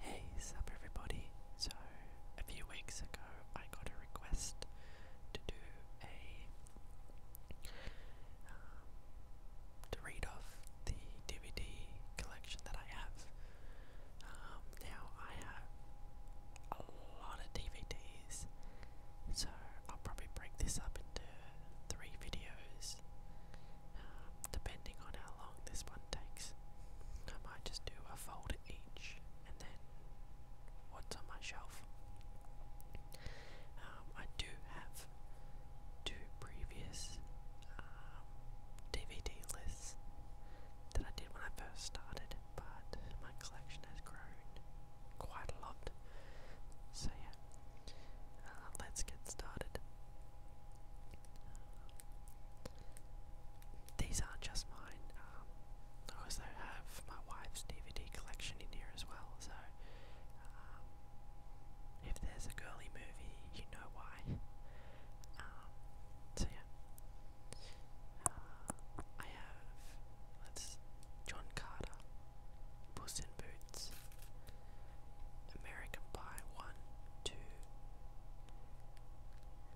Hey, sup everybody. So, a few weeks ago I got a request to do a um, to read off the DVD collection that I have. Um, now I have a lot of DVDs, so I'll probably break this up into three videos. Um, depending on how long this one takes, I might just do a folder each and then what's on my shelf. Um, I do have two previous DVD um, lists that I did when I first started, but my collection has grown quite a lot. So, yeah, uh, let's get started. These aren't just mine. Um, I also have my wife's DVD collection in here as well. So um, if there's a girly movie, you know why. Um, so yeah, uh, I have let's John Carter, Puss in Boots, American Pie 1, 2,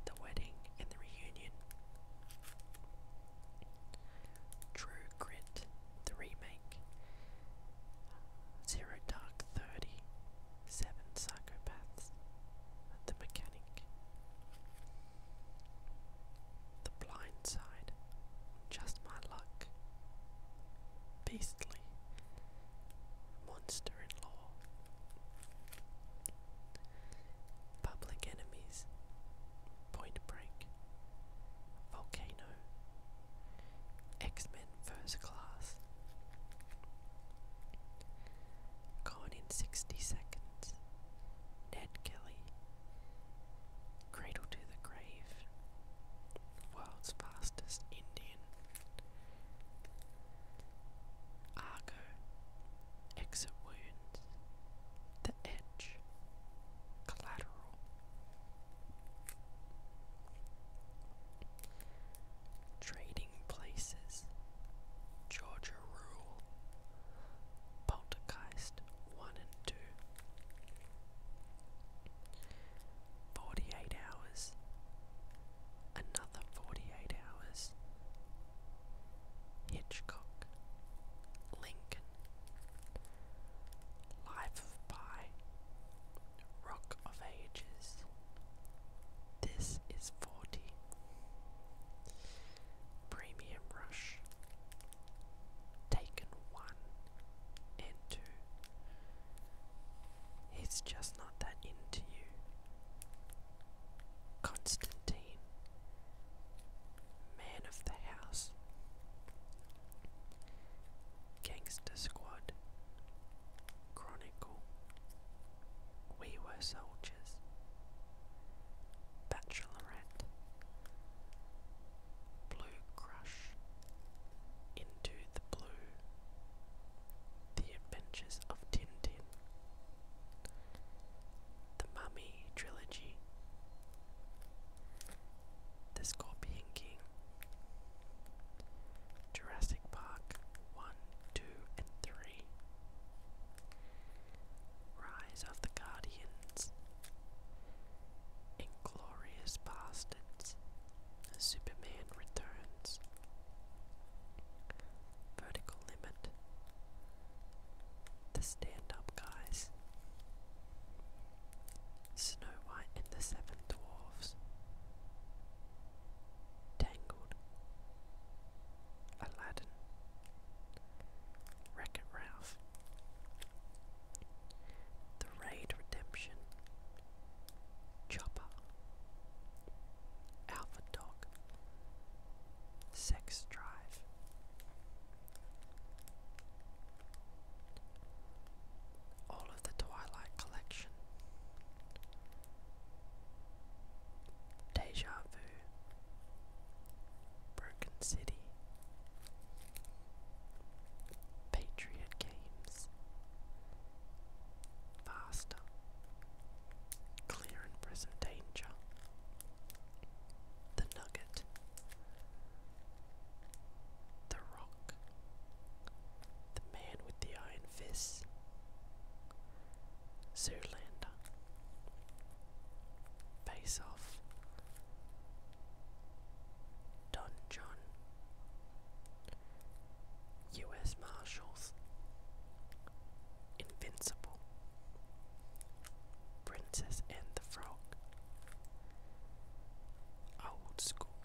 The Wedding and the Reunion, True Grit, the remake, Zero Dark Thirty, Seven Psychopaths, The Mechanic, The Blind Side, Just My Luck, beastly monster in law. Public Enemies, Point Break, Volcano, X Men First Class, Gone in 60 Seconds, Ned Kelly, Cradle to the Grave, World's Fastest Indian. Alien, Argo, Exit Wounds, The Edge, Collateral. Trading Places, Georgia Rule, Poltergeist 1 and 2, 48 hours, another 48 hours. Hitchcock, Lincoln, Life of Pi, Rock of Ages. This is 40. Premium Rush, Taken 1 and 2, He's just not that into you. Constantine, man of the house, gangster squad, chronicle, we were soldiers, bachelorette, blue crush into the blue the adventures of tintin the mummy trilogy the scorpion king jurassic park 1 2 and 3 rise of the guardians Inglorious Bastards, Superman Returns, Vertical Limit, The Stand Up Guys, Snow White and the Seven Dwarfs, Tangled, Aladdin, Wreck It Ralph, the Raid Redemption, Chopper, Alpha Dog, Sex Drive, all of the Twilight Collection, Deja Vu, Broken City, Patriot Games. Faster. Clear and present danger. The Nugget. The Rock. The Man with the Iron Fist. Zoolander. Face Dungeon, U.S. Marshals, Invincible, Princess and the Frog, Old School,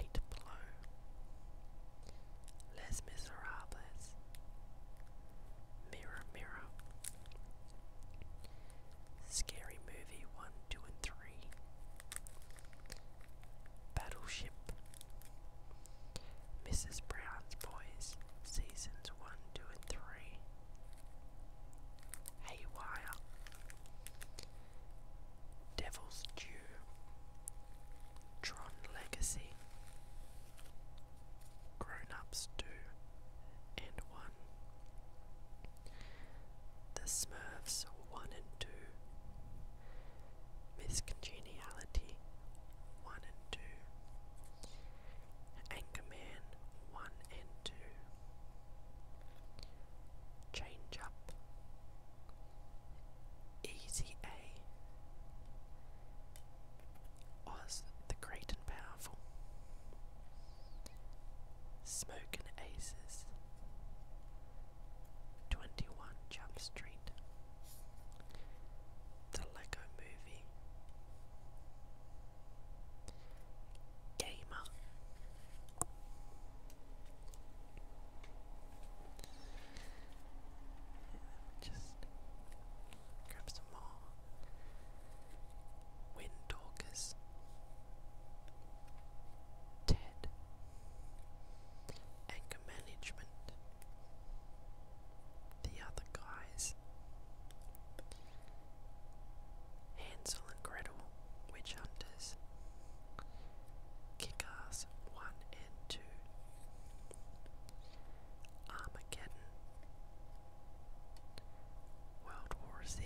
Eight Below, Les Miserables, Mirror Mirror, Scary Movie 1, 2, and 3. Battleship. Mrs. Brown's Boys, Seasons 1, 2, and 3. Haywire. Devil's Due. Tron Legacy. Grown Ups and 1. The Smurfs 1 and 2, Miss 1 and 2, Anchorman 1 and 2, Change Up, Easy A, Oz the Great and Powerful, Smoking Aces, 21 Jump Street, The Lego Movie, Gamer, just grab some more. Wind Talkers, TED, Anger Management, The Other Guys, Hansel and Gretel, Witch Hunters, Kick Ass 1 and 2, Armageddon, World War Z,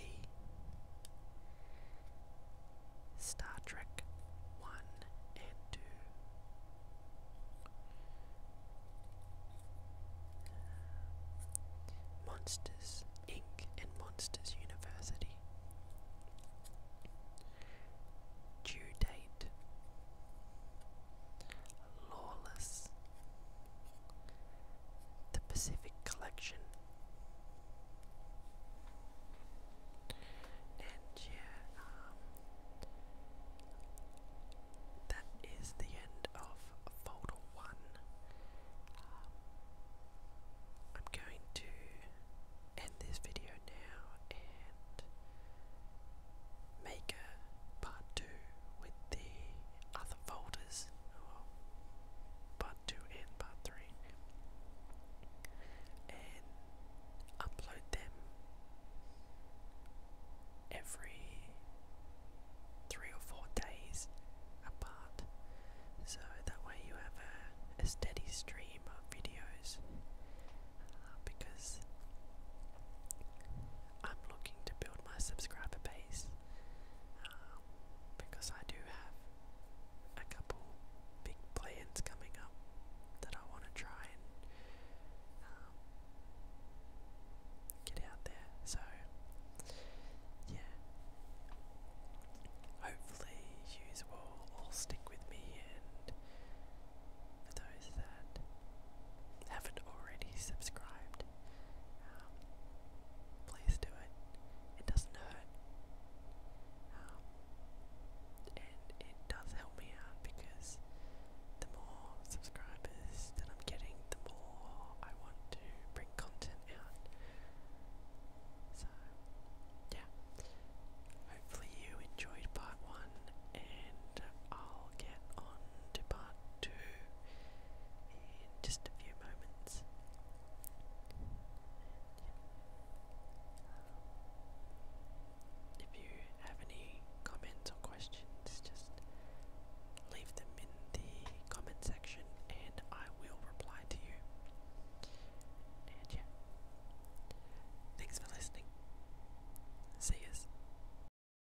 Star Trek 1 and 2, Monsters Inc. and Monsters University. Due date Lawless, The Pacific Collection, and yeah, um, that is the end of folder one. Um, I'm going to end this video now and make a part two with the other folders. Oh, part 2 and part 3. And upload them every three or four days apart. So that way you have a, steady stream of videos uh, because I'm looking to build my subscriber base because I do have a couple big plans coming up that I want to try and um, get out there. So, yeah, hopefully you will all stick with me and for those that haven't already subscribed, um, please do it. It doesn't hurt. Um, and it does help me out because the more subscribers that I'm getting, the more I want to bring content out. So, yeah. Hopefully, you enjoyed part one, and I'll get on to in just a few moments. If you have any comments or questions, just leave them in the comment section and I will reply to you. And yeah, thanks for listening. See yous.